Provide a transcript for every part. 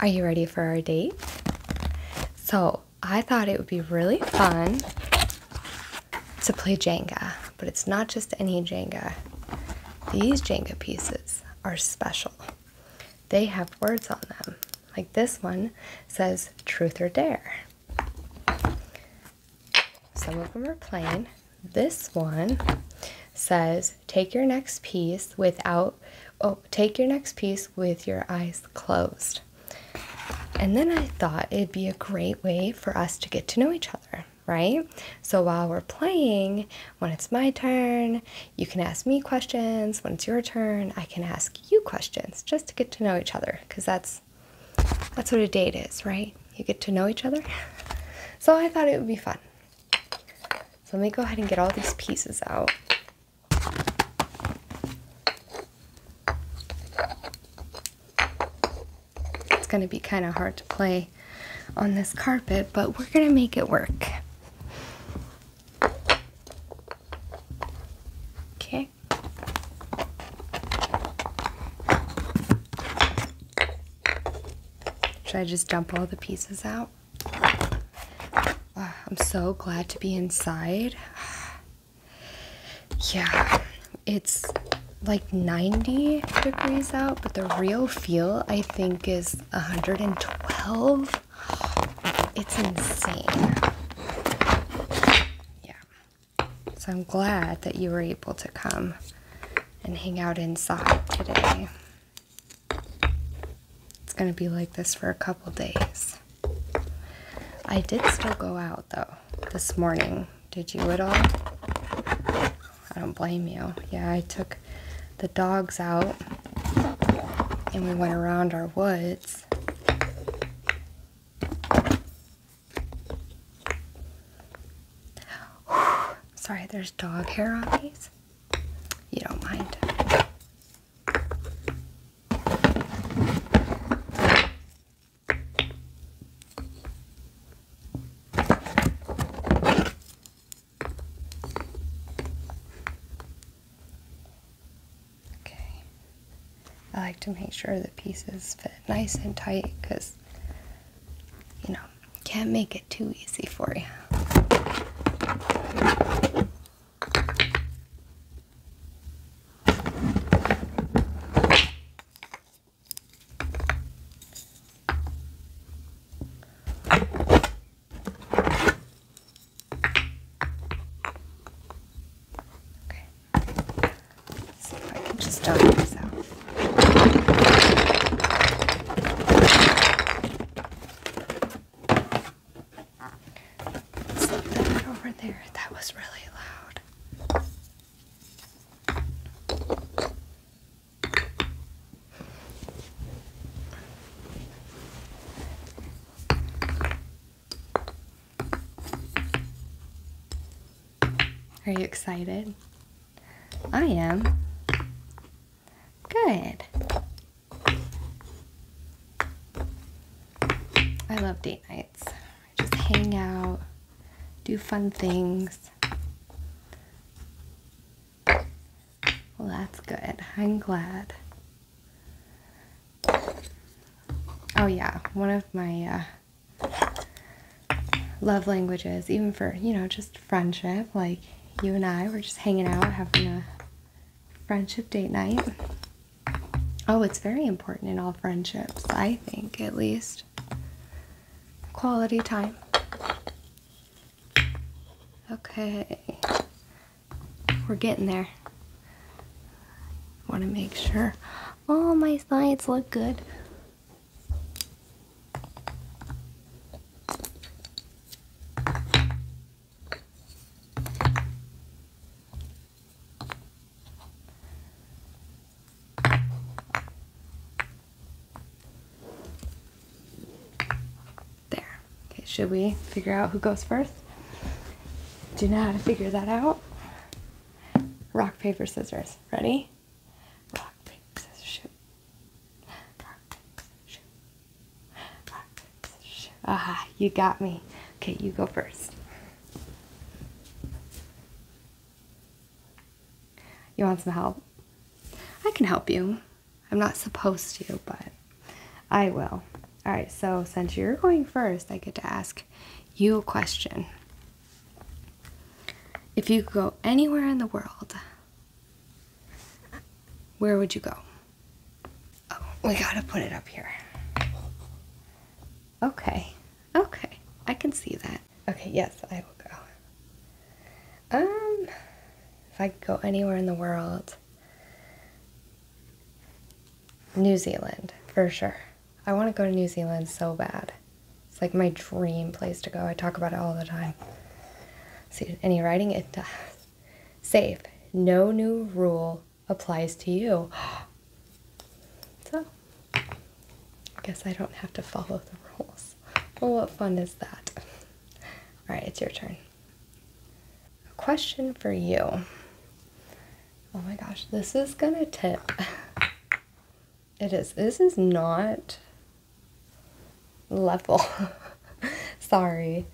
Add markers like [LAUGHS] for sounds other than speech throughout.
Are you ready for our date? So, I thought it would be really fun to play Jenga, but it's not just any Jenga. These Jenga pieces are special. They have words on them. Like this one says truth or dare. Some of them are plain. This one says take your next piece without oh, take your next piece with your eyes closed. And then I thought it'd be a great way for us to get to know each other, right? So while we're playing, when it's my turn, you can ask me questions. When it's your turn, I can ask you questions just to get to know each other because that's that's what a date is, right? You get to know each other. [LAUGHS] So I thought it would be fun. So let me go ahead and get all these pieces out. It's going to be kind of hard to play on this carpet, but we're going to make it work. Okay. Should I just dump all the pieces out? I'm so glad to be inside. [SIGHS] Yeah, it's like 90 degrees out, but the real feel I think is 112. It's insane. Yeah. So I'm glad that you were able to come and hang out inside today. It's going to be like this for a couple days. I did still go out though this morning. Did you at all? I don't blame you. Yeah, I took the dogs out and we went around our woods. Sorry, there's dog hair on these. You don't mind. Okay. I like to make sure the pieces fit nice and tight because, you know, can't make it too easy for you. Okay. See if I can just dot this out. Okay over there. That was really loud. Are you excited? I am. Good. I love date nights. just hang out, do fun things. Well, that's good. I'm glad. Oh, yeah. One of my uh, love languages, even for, you know, just friendship, like you and I were just hanging out, having a friendship date night. Oh, it's very important in all friendships, I think, at least. Quality time. Okay. We're getting there. Want to make sure all oh, my sides look good. There. Okay, should we figure out who goes first? Do you know how to figure that out? Rock, paper, scissors. Ready? Rock, paper, scissors, shoot. Rock, paper, scissors, Aha, you got me. Okay, you go first. You want some help? I can help you. I'm not supposed to, but I will. All right, so since you're going first, I get to ask you a question. If you could go anywhere in the world, where would you go? Oh, we gotta put it up here. Okay. Okay. I can see that. Okay, yes, I will go. Um, if I could go anywhere in the world, New Zealand, for sure. I want to go to New Zealand so bad. It's like my dream place to go. I talk about it all the time. See, any writing? It does. Safe. No new rule applies to you. [GASPS] So, I guess I don't have to follow the rules. Well, what fun is that? All right, it's your turn. A question for you. Oh my gosh, this is gonna tip. [LAUGHS] It is. This is not level. [LAUGHS] Sorry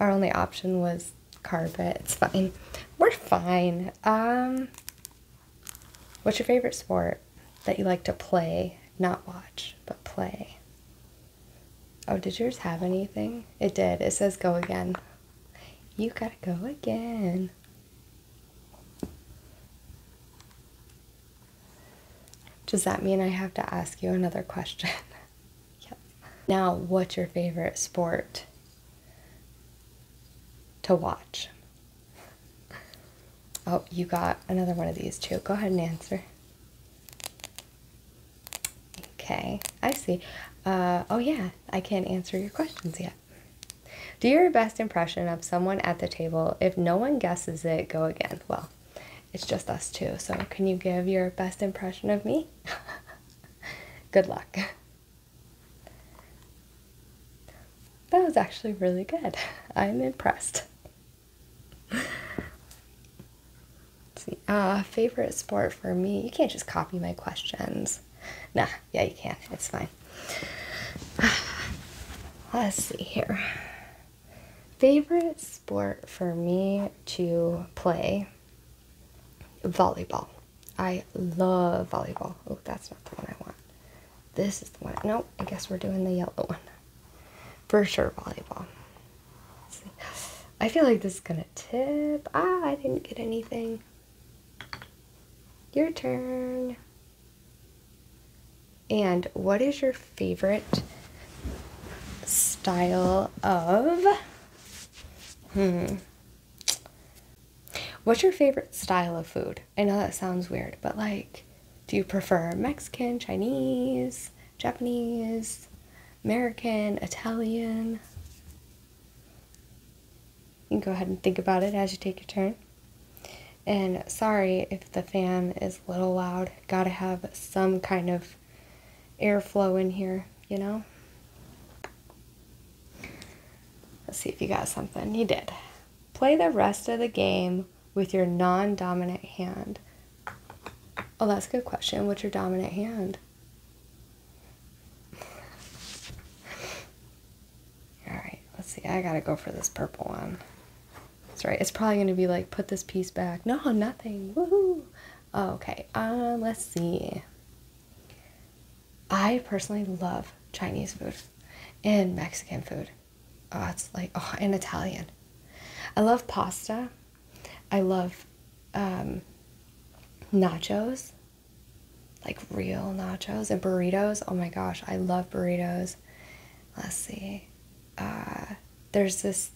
our only option was carpet. It's fine. We're fine. Um, what's your favorite sport that you like to play? Not watch, but play. Oh, did yours have anything? It did. It says go again. You gotta go again. Does that mean I have to ask you another question? [LAUGHS] Yep. Now, what's your favorite sport to watch? Oh, you got another one of these too. Go ahead and answer. Okay, I see. Uh, oh yeah, I can't answer your questions yet. Do your best impression of someone at the table. If no one guesses it, go again. Well, it's just us two, so can you give your best impression of me? [LAUGHS] Good luck. That was actually really good. I'm impressed. see. Uh, favorite sport for me. You can't just copy my questions. Nah, yeah, you can. It's fine. [SIGHS] Let's see here. Favorite sport for me to play Volleyball. I love volleyball. Oh, that's not the one I want. This is the one. No, I guess we're doing the yellow one. For sure, volleyball. I feel like this is gonna tip. Ah, I didn't get anything. Your turn. And what is your favorite style of Hmm. What's your favorite style of food? I know that sounds weird, but like, do you prefer Mexican, Chinese, Japanese, American, Italian? You can go ahead and think about it as you take your turn. And sorry if the fan is a little loud. Gotta have some kind of airflow in here, you know? Let's see if you got something. You did. Play the rest of the game with your non dominant hand. Oh, that's a good question. What's your dominant hand? All right, let's see. I gotta go for this purple one. That's right. It's probably gonna be like, put this piece back. No, nothing. Woohoo! Oh, okay, uh, let's see. I personally love Chinese food and Mexican food. Oh, it's like, oh, and Italian. I love pasta. I love um, nachos, like real nachos and burritos. Oh my gosh, I love burritos. Let's see. Uh, there's this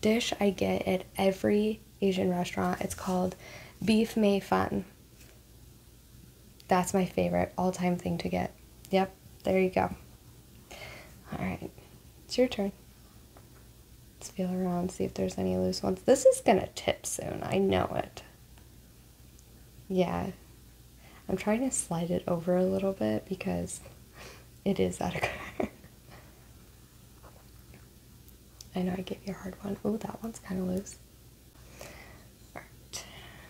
dish I get at every Asian restaurant. It's called Beef May Fun. That's my favorite all time thing to get. Yep, there you go. All right, it's your turn. Let's feel around, see if there's any loose ones. This is gonna tip soon, I know it. Yeah, I'm trying to slide it over a little bit because it is out of color. I know I gave you a hard one. Oh, that one's kind of loose. Alright,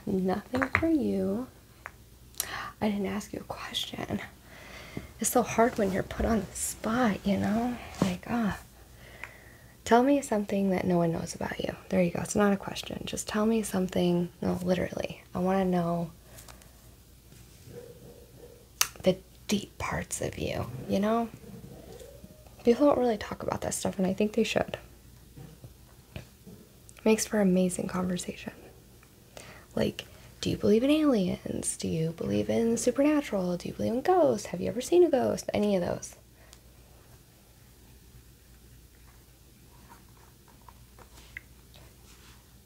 nothing for you. I didn't ask you a question. It's so hard when you're put on the spot, you know? Like, ah. Tell me something that no one knows about you. There you go. It's not a question. Just tell me something. No, literally. I want to know the deep parts of you, you know? People don't really talk about that stuff, and I think they should. Makes for amazing conversation. Like, do you believe in aliens? Do you believe in supernatural? Do you believe in ghosts? Have you ever seen a ghost? Any of those.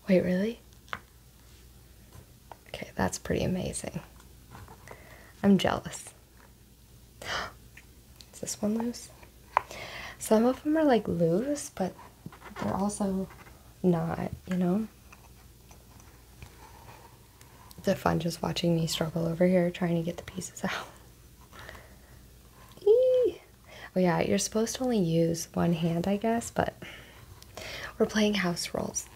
Wait, really? Okay, that's pretty amazing. I'm jealous. [GASPS] Is this one loose? Some of them are like loose, but they're also not, you know? The fun just watching me struggle over here trying to get the pieces [LAUGHS] out. Oh yeah, you're supposed to only use one hand, I guess, but we're playing house rules.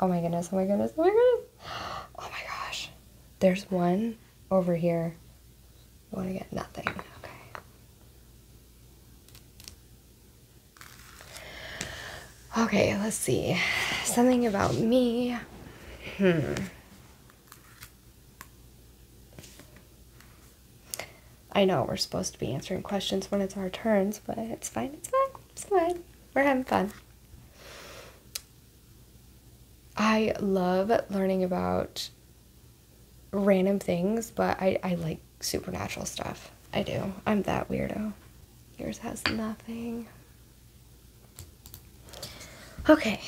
Oh my goodness, oh my goodness, oh my goodness. [GASPS] Oh my gosh. There's one over here. I want to get nothing. Okay. Okay, let's see. Something about me. Hmm. I know we're supposed to be answering questions when it's our turns, but it's fine, it's fine, it's fine. We're having fun. I love learning about random things, but I, I like supernatural stuff. I do. I'm that weirdo. Yours has nothing. Okay.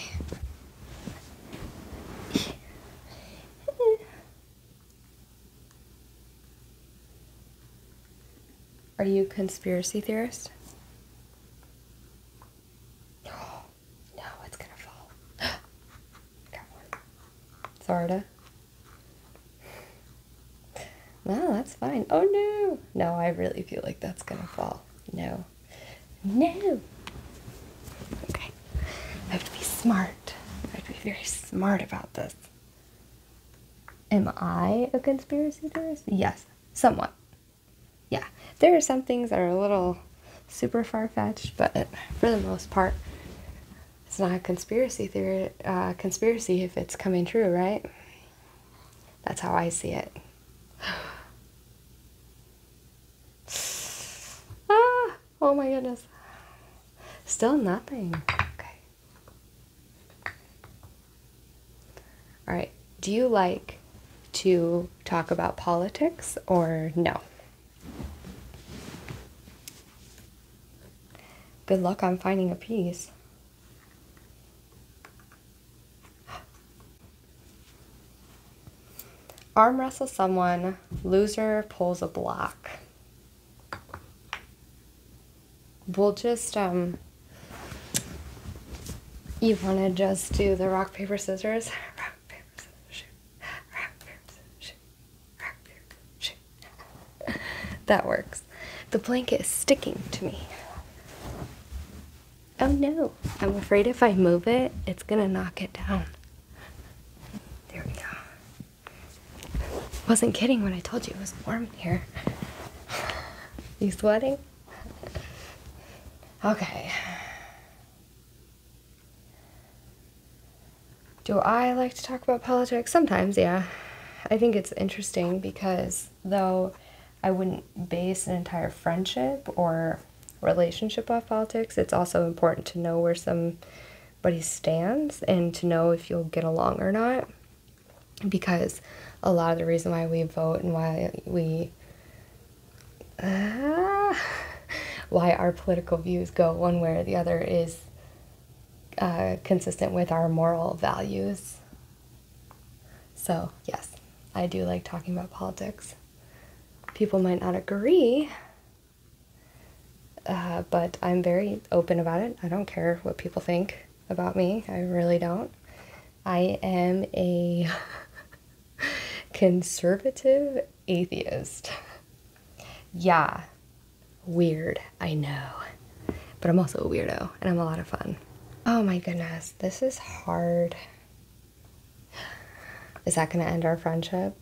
Are you a conspiracy theorist? No, [GASPS] oh, no, it's gonna fall. Got [GASPS] one. Sarda. [SIGHS] Well, that's fine. Oh no! No, I really feel like that's gonna fall. No. No! Okay. I have to be smart. I have to be very smart about this. Am I a conspiracy theorist? Yes, somewhat. Yeah, there are some things that are a little super far fetched, but for the most part, it's not a conspiracy theory. Uh, conspiracy if it's coming true, right? That's how I see it. [SIGHS] ah, oh my goodness. Still nothing. Okay. All right. Do you like to talk about politics or no? Good luck on finding a piece. Arm wrestle someone, loser pulls a block we'll just um you want to just do the rock paper scissors that works the blanket is sticking to me oh no i'm afraid if i move it it's gonna knock it down there we go wasn't kidding when I told you it was warm here. you sweating? Okay. Do I like to talk about politics? Sometimes, yeah. I think it's interesting because though I wouldn't base an entire friendship or relationship off politics, it's also important to know where somebody stands and to know if you'll get along or not because a lot of the reason why we vote and why we uh, why our political views go one way or the other is uh, consistent with our moral values. So, yes, I do like talking about politics. People might not agree, uh, but I'm very open about it. I don't care what people think about me. I really don't. I am a [LAUGHS] conservative atheist. yeah, weird, I know. But I'm also a weirdo and I'm a lot of fun. Oh my goodness, this is hard. Is that going to end our friendship?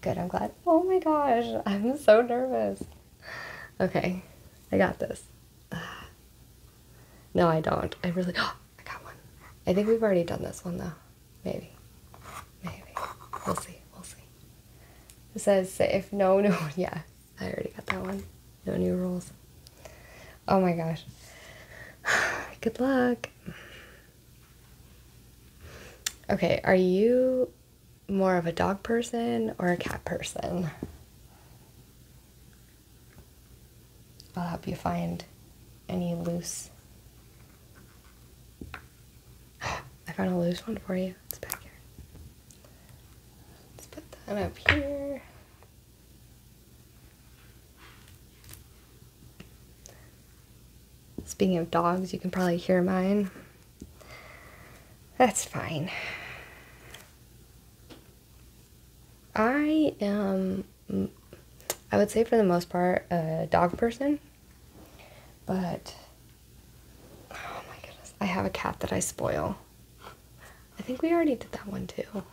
Good, I'm glad. Oh my gosh, I'm so nervous. Okay, I got this. [SIGHS] No, I don't. I really. Oh, [GASPS] I got one. I think we've already done this one though. Maybe. Maybe. We'll see. We'll see. It says safe. no no. [LAUGHS] Yeah, I already got that one. No new rules. Oh my gosh. [SIGHS] Good luck. Okay, are you more of a dog person or a cat person. I'll help you find any loose. [GASPS] I found a loose one for you. It's back here. Let's put that up here. Speaking of dogs, you can probably hear mine. That's fine. I am, I would say for the most part, a dog person. But, oh my goodness, I have a cat that I spoil. I think we already did that one too.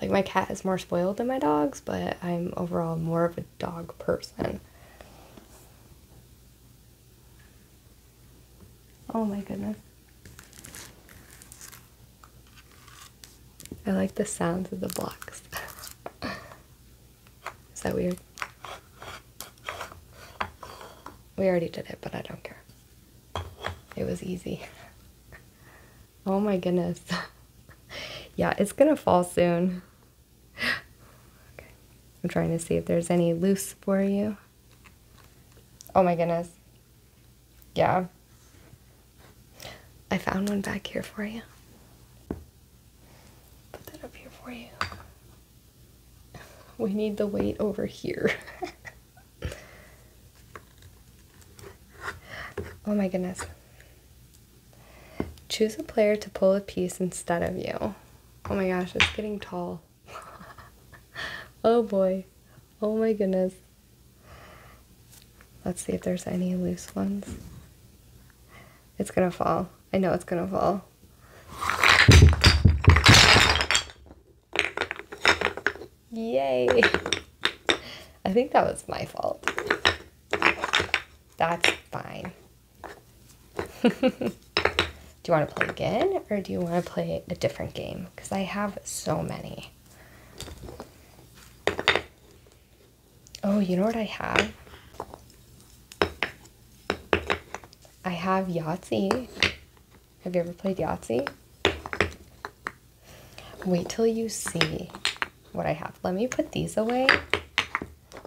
Like, my cat is more spoiled than my dogs, but I'm overall more of a dog person. Oh my goodness. I like the sounds of the blocks. [LAUGHS] Is that weird? We already did it, but I don't care. It was easy. [LAUGHS] Oh my goodness. [LAUGHS] yeah, it's gonna fall soon. [GASPS] I'm trying to see if there's any loose for you. Oh my goodness. Yeah. I found one back here for you. Put that up here for you. We need the weight over here. [LAUGHS] oh my goodness. Choose a player to pull a piece instead of you. Oh my gosh, it's getting tall. [LAUGHS] oh boy. Oh my goodness. Let's see if there's any loose ones. It's gonna fall. I know it's gonna fall. Yay! I think that was my fault. That's fine. [LAUGHS] do you want to play again or do you want to play a different game? Because I have so many. Oh, you know what I have? I have Yahtzee. Have you ever played Yahtzee? Wait till you see what I have. Let me put these away.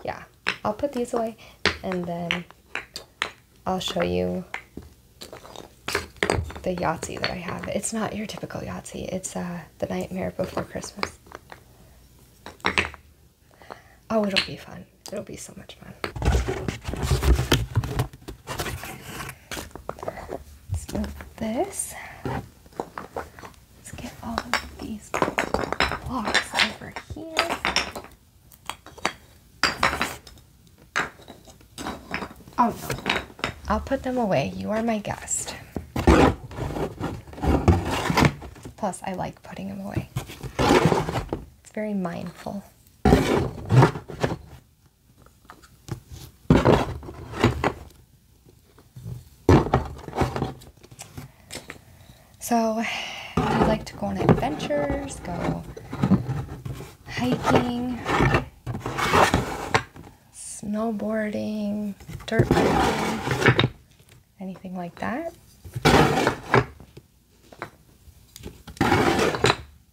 Yeah, I'll put these away and then I'll show you the Yahtzee that I have. It's not your typical Yahtzee. It's uh, the Nightmare Before Christmas. Oh, it'll be fun. It'll be so much fun. Let's move this. Let's get all of these blocks over here. Oh no. I'll put them away. You are my guest. Plus, I like putting them away. It's very mindful. So I like to go on adventures, go hiking, snowboarding, dirt biking, anything like that.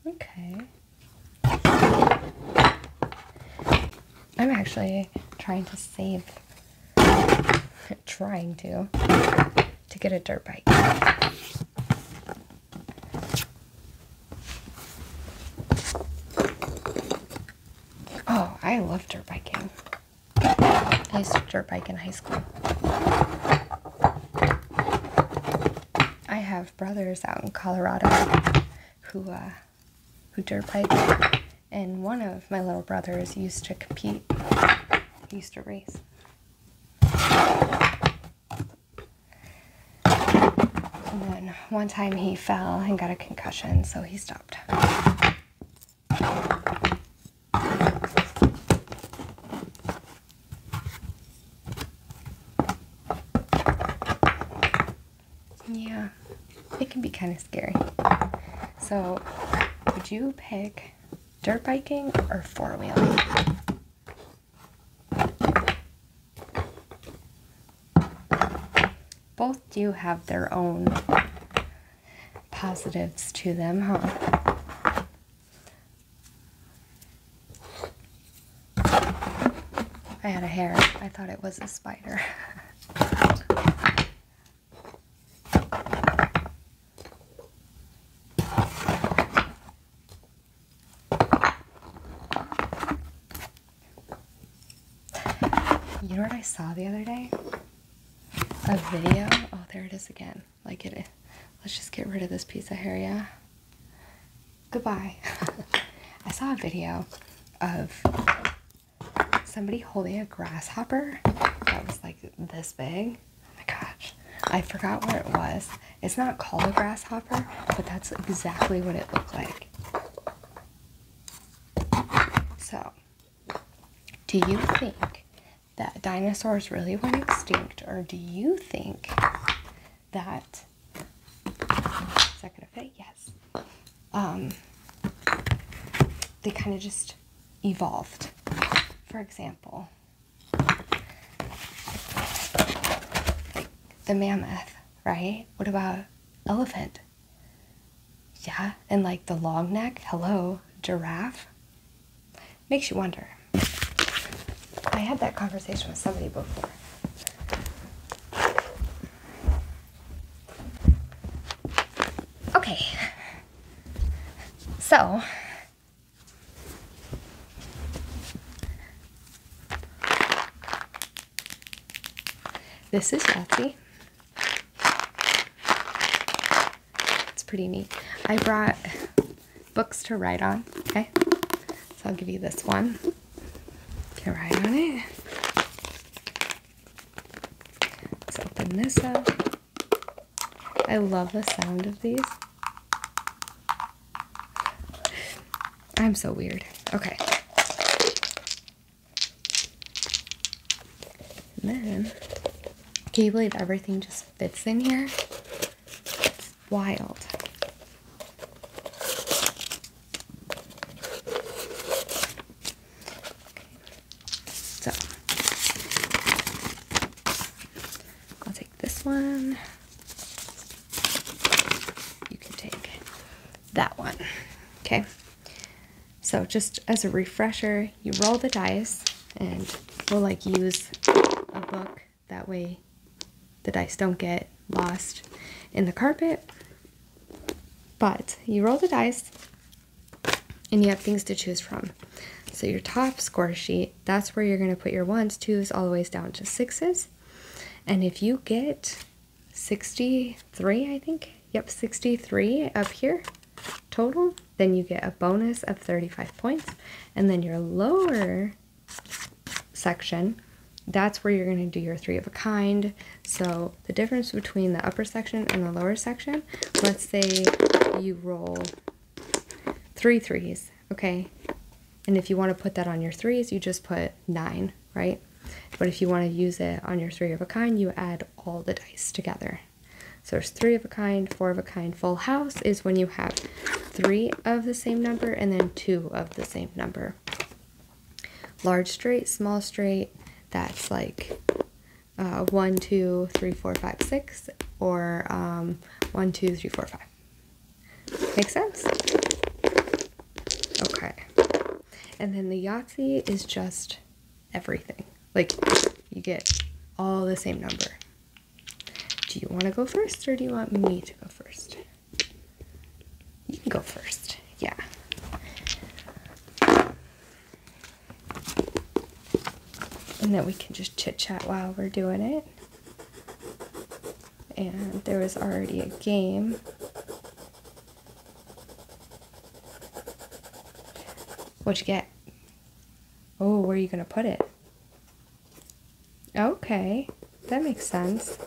Okay. I'm actually trying to save, [LAUGHS] trying to to get a dirt bike. Oh, I love dirt biking. I used to dirt bike in high school. I have brothers out in Colorado who uh, who dirt bike, and one of my little brothers used to compete, used to race and then one time he fell and got a concussion, so he stopped. Yeah, it can be kind of scary. So, would you pick dirt biking or four wheeling? Both do have their own positives to them, huh? I had a hair. I thought it was a spider. [LAUGHS] You know what I saw the other day? A video. Oh, there it is again. Like it. Let's just get rid of this piece of hair, yeah? Goodbye. [LAUGHS] I saw a video of somebody holding a grasshopper that was like this big Oh my gosh. I forgot what it was. It's not called a grasshopper, but that's exactly what it looked like. So, do you think that dinosaurs really went extinct, or do you think that is that gonna fit? Yes. Um, they kind of just evolved. For example, the mammoth, right? What about elephant? Yeah, and like the long neck, hello, giraffe. Makes you wonder. I had that conversation with somebody before. Okay. So, this is Yahtzee. It's pretty neat. I brought books to write on, okay? So I'll give you this one to write on it. Let's open this up. I love the sound of these. I'm so weird. Okay. then, can you believe everything just fits in here? It's wild. So, I'll take this one. You can take that one. Okay. So just as a refresher, you roll the dice and we'll like use a book. That way the dice don't get lost in the carpet. But you roll the dice and you have things to choose from. So your top score sheet that's where you're going to put your ones, twos, all the ways down to sixes. And if you get 63, I think, yep, 63 up here total, then you get a bonus of 35 points. And then your lower section, that's where you're going to do your three of a kind. So the difference between the upper section and the lower section, let's say you roll three threes okay? And if you want to put that on your threes, you just put nine, right? But if you want to use it on your three of a kind, you add all the dice together. So there's three of a kind, four of a kind. Full house is when you have three of the same number and then two of the same number. Large straight, small straight, that's like uh, one, two, three, four, five, six, or um, one, two, three, four, five. Okay. Make sense? Okay. And then the Yahtzee is just everything. Like, you get all the same number. Do you want to go first or do you want me to go first? You can go first. Yeah. And then we can just chit chat while we're doing it and there was already a game. What'd you get? Oh, where are you going to put it? Okay, that makes sense.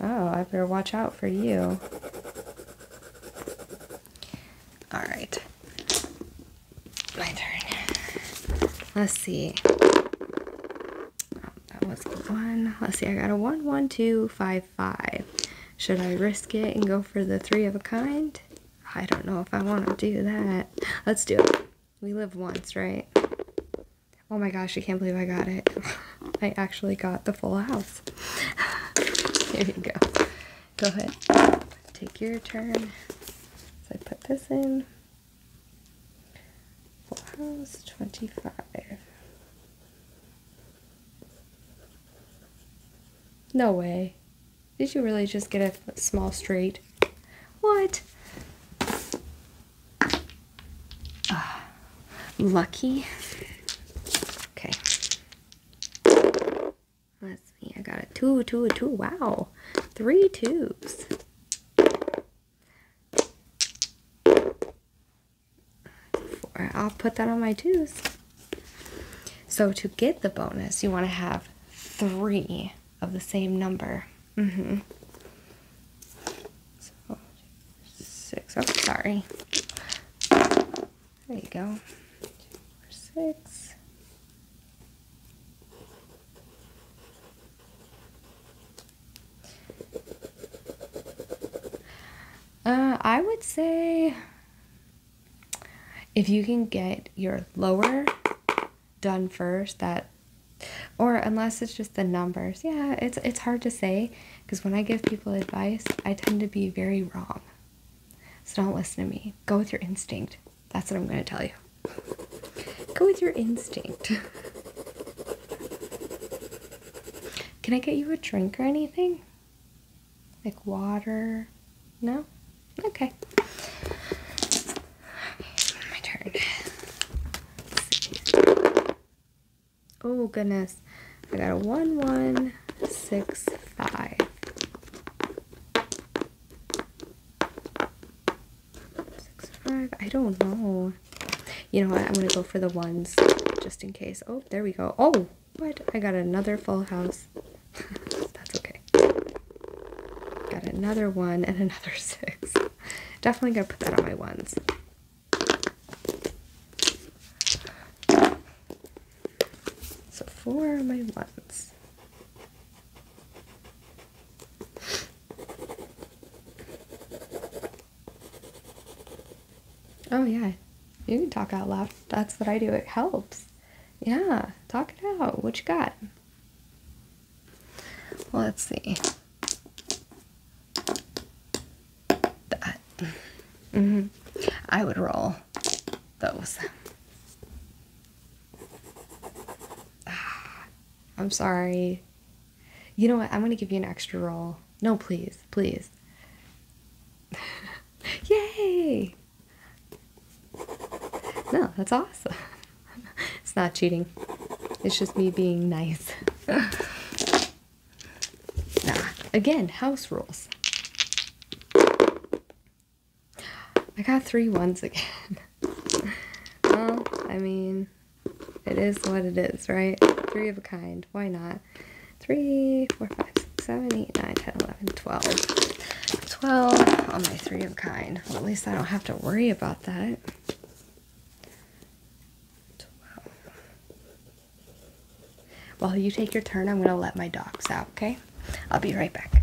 Oh, I better watch out for you. Alright my turn. Let's see. Oh, that was a one. Let's see, I got a one, one, two, five, five. Should I risk it and go for the three of a kind? I don't know if I want to do that. Let's do it. We live once, right? Oh my gosh, I can't believe I got it. [LAUGHS] I actually got the full house. [LAUGHS] Here you go. Go ahead. Take your turn. So I put this in. Four hours twenty-five. No way. Did you really just get a small street? What? Ah, lucky. Okay. Let's me. I got a two, two, two. Wow. Three Four. I'll put that on my twos. So to get the bonus, you want to have three of the same number. Mm-hmm. So six. Oh, sorry. There you go. Two, four, six. Uh, I would say if you can get your lower done first, that or unless it's just the numbers. Yeah, it's it's hard to say because when I give people advice, I tend to be very wrong. So don't listen to me. Go with your instinct. That's what I'm going to tell you. Go with your instinct. Can I get you a drink or anything? Like water? No? Okay. My turn. Oh goodness. I got a 1165. Six, five. I don't know. You know what? I'm going to go for the ones just in case. Oh, there we go. Oh, what? I got another full house. [LAUGHS] That's okay. Got another one and [LAUGHS] another six. Definitely going to put that on my ones. So four are my ones. Oh, yeah. You can talk out loud. That's what I do. It helps. Yeah. Talk it out. What you got? Let's see. That. Mm-hmm. I would roll those. Ah, I'm sorry. You know what? I'm going to give you an extra roll. No, please, please. [LAUGHS] Yay! No, that's awesome. [LAUGHS] it's not cheating. It's just me being nice. [LAUGHS] nah. Again, house rules. I got three ones again well, I mean, it is what it is, right? Three of a kind. Why not? Three, four, five, six, seven, eight, nine, ten, eleven, twelve. Twelve on my three of a kind. at least I don't have to worry about that. Twelve. While you take your turn, I'm going to let my dogs out, okay? I'll be right back.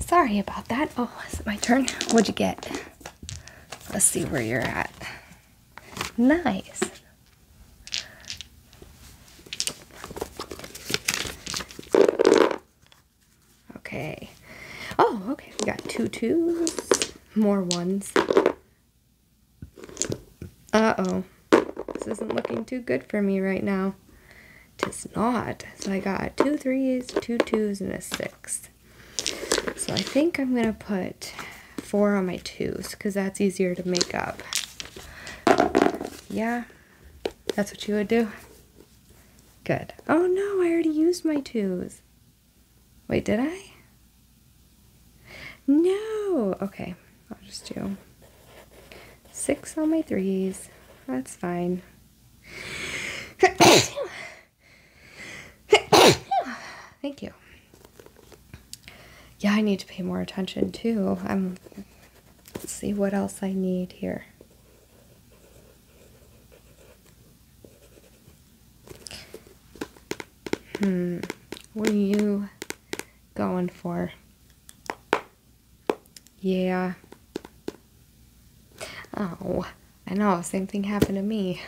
Sorry about that. Oh, is it my turn? What'd you get? Let's see where you're at. Nice. Okay. Oh, okay. We got two twos, more ones, uh-oh. This isn't looking too good for me right now. Tis not. So I got two threes, two twos, and a six. So I think I'm going to put four on my twos because that's easier to make up. Yeah, that's what you would do. Good. Oh no, I already used my twos. Wait, did I? No. Okay. I'll just do six on my threes. That's fine. Thank you. Yeah, I need to pay more attention too. I'm see what else I need here. Hmm. What do you going for. Yeah. Oh, I know, same thing happened to me.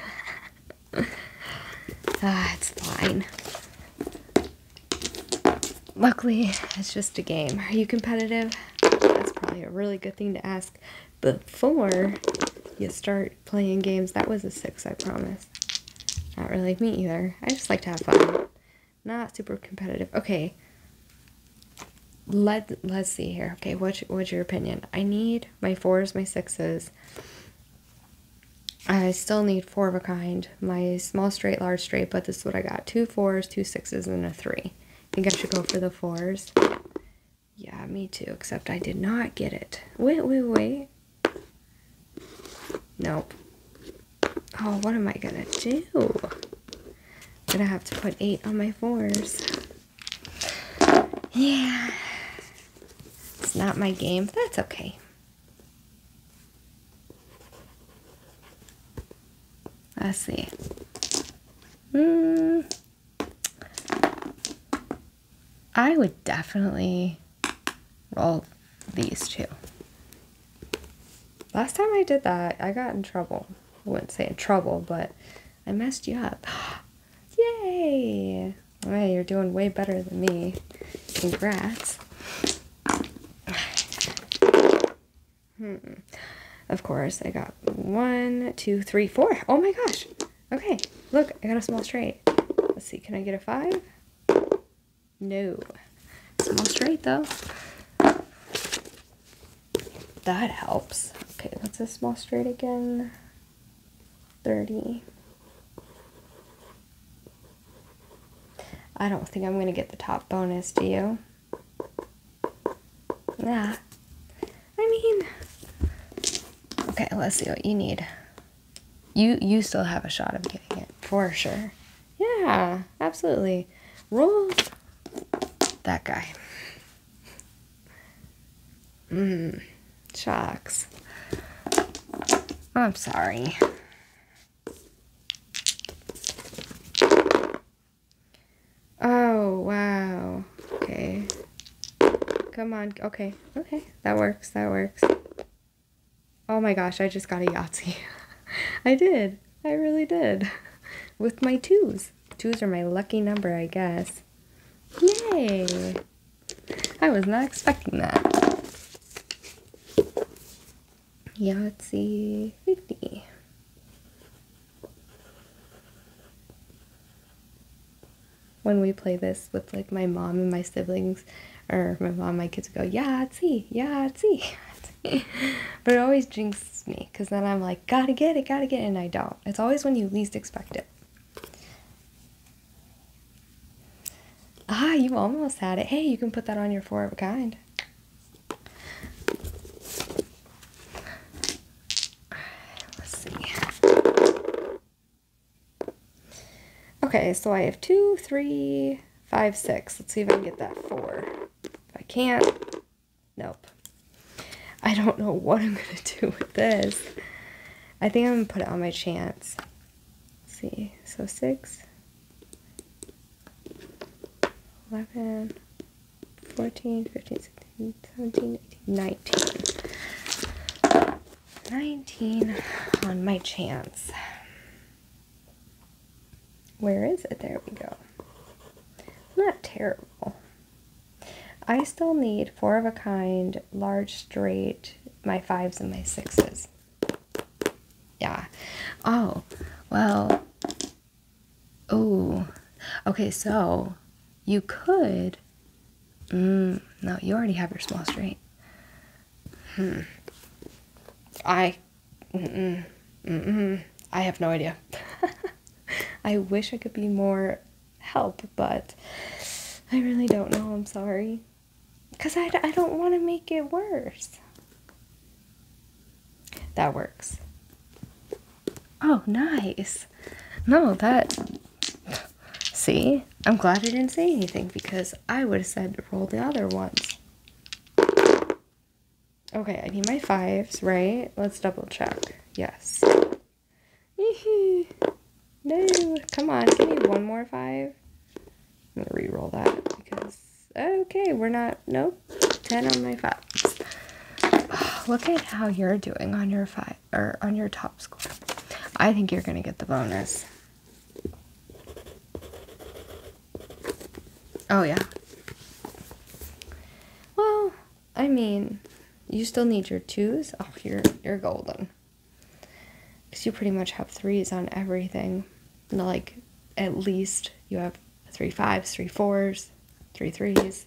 [LAUGHS] ah, it's fine. Luckily, it's just a game. Are you competitive? That's probably a really good thing to ask before you start playing games. That was a six, I promise. Not really me either. I just like to have fun. Not super competitive. Okay. Let let's see here. Okay, what's what's your opinion? I need my fours, my sixes. I still need four of a kind. My small straight, large straight, but this is what I got. Two fours, two sixes, and a three. I think I should go for the fours. Yeah, me too, except I did not get it. Wait, wait, wait. Nope. Oh, what am I gonna do? i gonna have to put eight on my fours. Yeah. It's not my game. That's okay. Let's see. Hmm. I would definitely roll these two. Last time I did that, I got in trouble. I wouldn't say in trouble, but I messed you up. [GASPS] Yay! Hey, you're doing way better than me. Congrats. [SIGHS] Hmm. Of course, I got one, two, three, four. Oh my gosh. Okay, look, I got a small straight. Let's see, can I get a five? No. I'm straight though. That helps. Okay, what's a small straight again? 30. I don't think I'm going to get the top bonus, do you? Yeah. I mean... Okay, let's see what you need. You you still have a shot of getting it, for sure. Yeah, absolutely. Roll that guy. Mmm, shocks. I'm sorry. Oh, wow. Okay. Come on. Okay. Okay. That works. That works. Oh my gosh, I just got a Yahtzee. [LAUGHS] I did. I really did. [LAUGHS] With my twos. Twos are my lucky number, I guess. Yay! I was not expecting that. Yahtzee 50. When we play this with like my mom and my siblings, or my mom, my kids go, Yahtzee, Yahtzee. [LAUGHS] [LAUGHS] but it always jinxes me because then I'm like, gotta get it, gotta get it, and I don't. It's always when you least expect it. Ah, you almost had it. Hey, you can put that on your four of a kind. Let's see. Okay, so I have two, three, five, six. Let's see if I can get that four. If I can't, nope. I don't know what I'm going [LAUGHS] to do with this. I think I'm going to put it on my chance. Let's see, so six, 11, 14, 15, 16, 17, 18, 19. 19 on my chance. Where is it? There we go. Not terrible. I still need four of a kind, large straight, my fives and my sixes. Yeah. Oh, well. Oh. Okay, so you could. Mm, no, you already have your small straight. Hmm. I I have no idea. [LAUGHS] I wish I could be more help, but I really don't know. I'm sorry. Because I, I don't want to make it worse. That works. Oh, nice. No, that. See? I'm glad I didn't say anything because I would have said roll the other ones. Okay, I need my fives, right? Let's double check. Yes. no, come on, give me one more five. I'm gonna re-roll that because okay, we're not nope. Ten on my fives. [SIGHS] look at how you're doing on your five or on your top score. I think you're gonna get the bonus. Oh, yeah. Well, I mean, you still need your twos. Oh, you're, you're golden. Because you pretty much have threes on everything. like, at least you have three fives, three fours, three threes.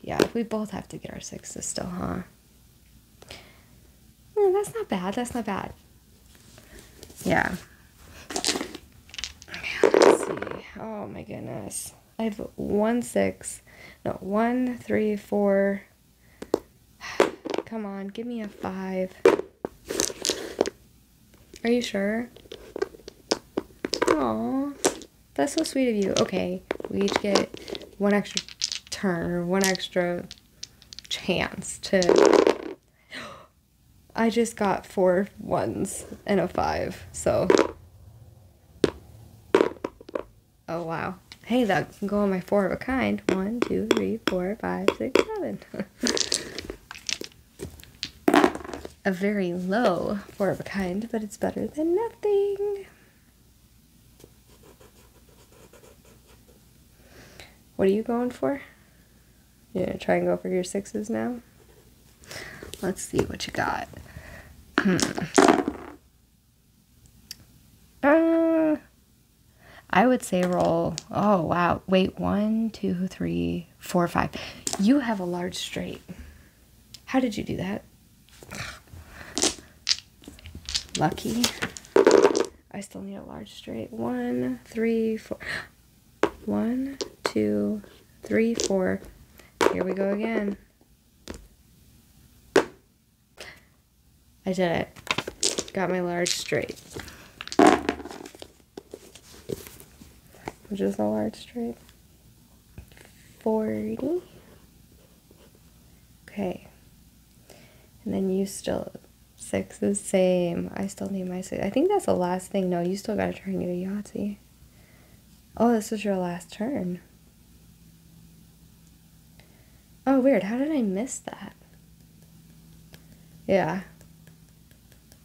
Yeah, we both have to get our sixes still, huh? that's not bad. That's not bad. Yeah. Oh my goodness. I have one six. No, one, three, four. [SIGHS] Come on, give me a five. Are you sure? Aw. That's so sweet of you. Okay, we each get one extra turn one extra chance to I just got four ones and a five, so. Oh, wow. Hey, that can go on my four of a kind. One, two, three, four, five, six, seven. [LAUGHS] a very low four of a kind, but it's better than nothing. What are you going for? You're gonna try and go for your sixes now? Let's see what you got. [CLEARS THROAT] Uh, I would say roll. Oh, wow. Wait, one, two, three, four, five. You have a large straight. How did you do that? Lucky. I still need a large straight. One, three, four. One, two, three, four. Here we go again. I did it. Got my large straight. Which is the large straight? 40. Okay. And then you still, six. The same. I still need my six. I think that's the last thing. No, you still gotta try and a Yahtzee. Oh, this was your last turn. Oh, weird. How did I miss that? Yeah.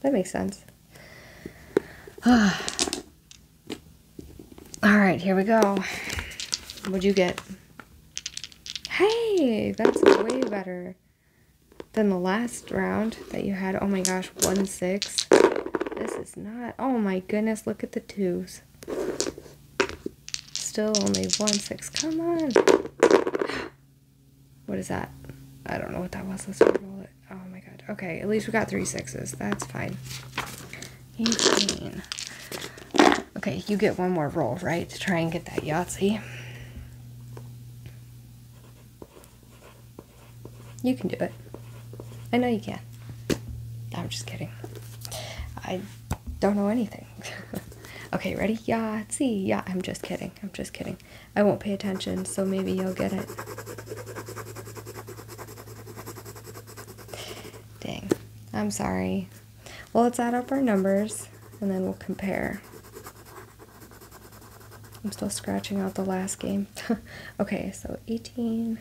That makes sense. [SIGHS] All right, here we go. What'd you get? Hey, that's way better. Then the last round that you had, oh my gosh, one six. This is not, oh my goodness, look at the twos. Still only one six, come on. What is that? I don't know what that was, let's roll it. Oh my god, okay, at least we got three sixes, that's fine. 18. Okay, you get one more roll, right, to try and get that Yahtzee. You can do it. I know you can. I'm just kidding. I don't know anything. [LAUGHS] okay, ready? Yeah. See? Yeah, I'm just kidding. I'm just kidding. I won't pay attention, so maybe you'll get it. Dang. I'm sorry. Well, let's add up our numbers and then we'll compare. I'm still scratching out the last game. [LAUGHS] okay, so 18,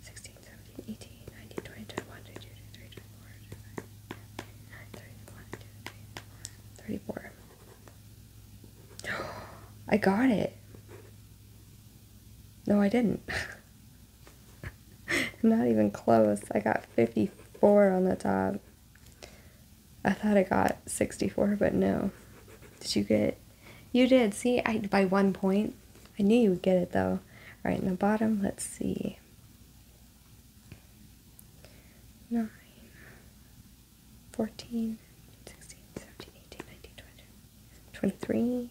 16, 17, 18, 19, 20, 21, 22, 23, 24, 25, 34. [GASPS] I got it. No, I didn't. [LAUGHS] Not even close. I got 54 on the top. I thought I got 64, but no. Did you get? You did. See, I by one point. I knew you would get it though. All right, in the bottom, let's see. Nine, 14, 16, 17, 18, 19, 20, 23.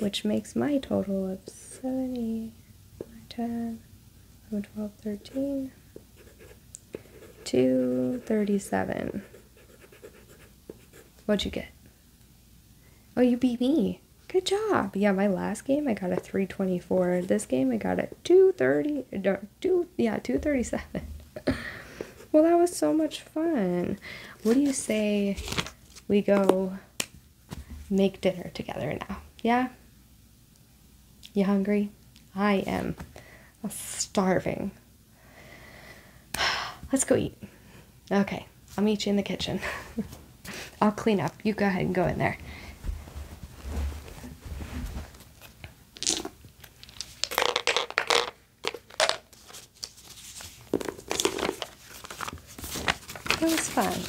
which makes my total of 70, 10, 11, 12, 13, 237. What'd you get? Oh, you beat me. Good job. Yeah, my last game I got a 324. This game I got a 230, no, two, yeah, 237. [LAUGHS] well, that was so much fun. What do you say we go make dinner together now. Yeah? You hungry? I am starving. [SIGHS] Let's go eat. Okay, I'll meet you in the kitchen. [LAUGHS] I'll clean up. You go ahead and go in there. It was fun.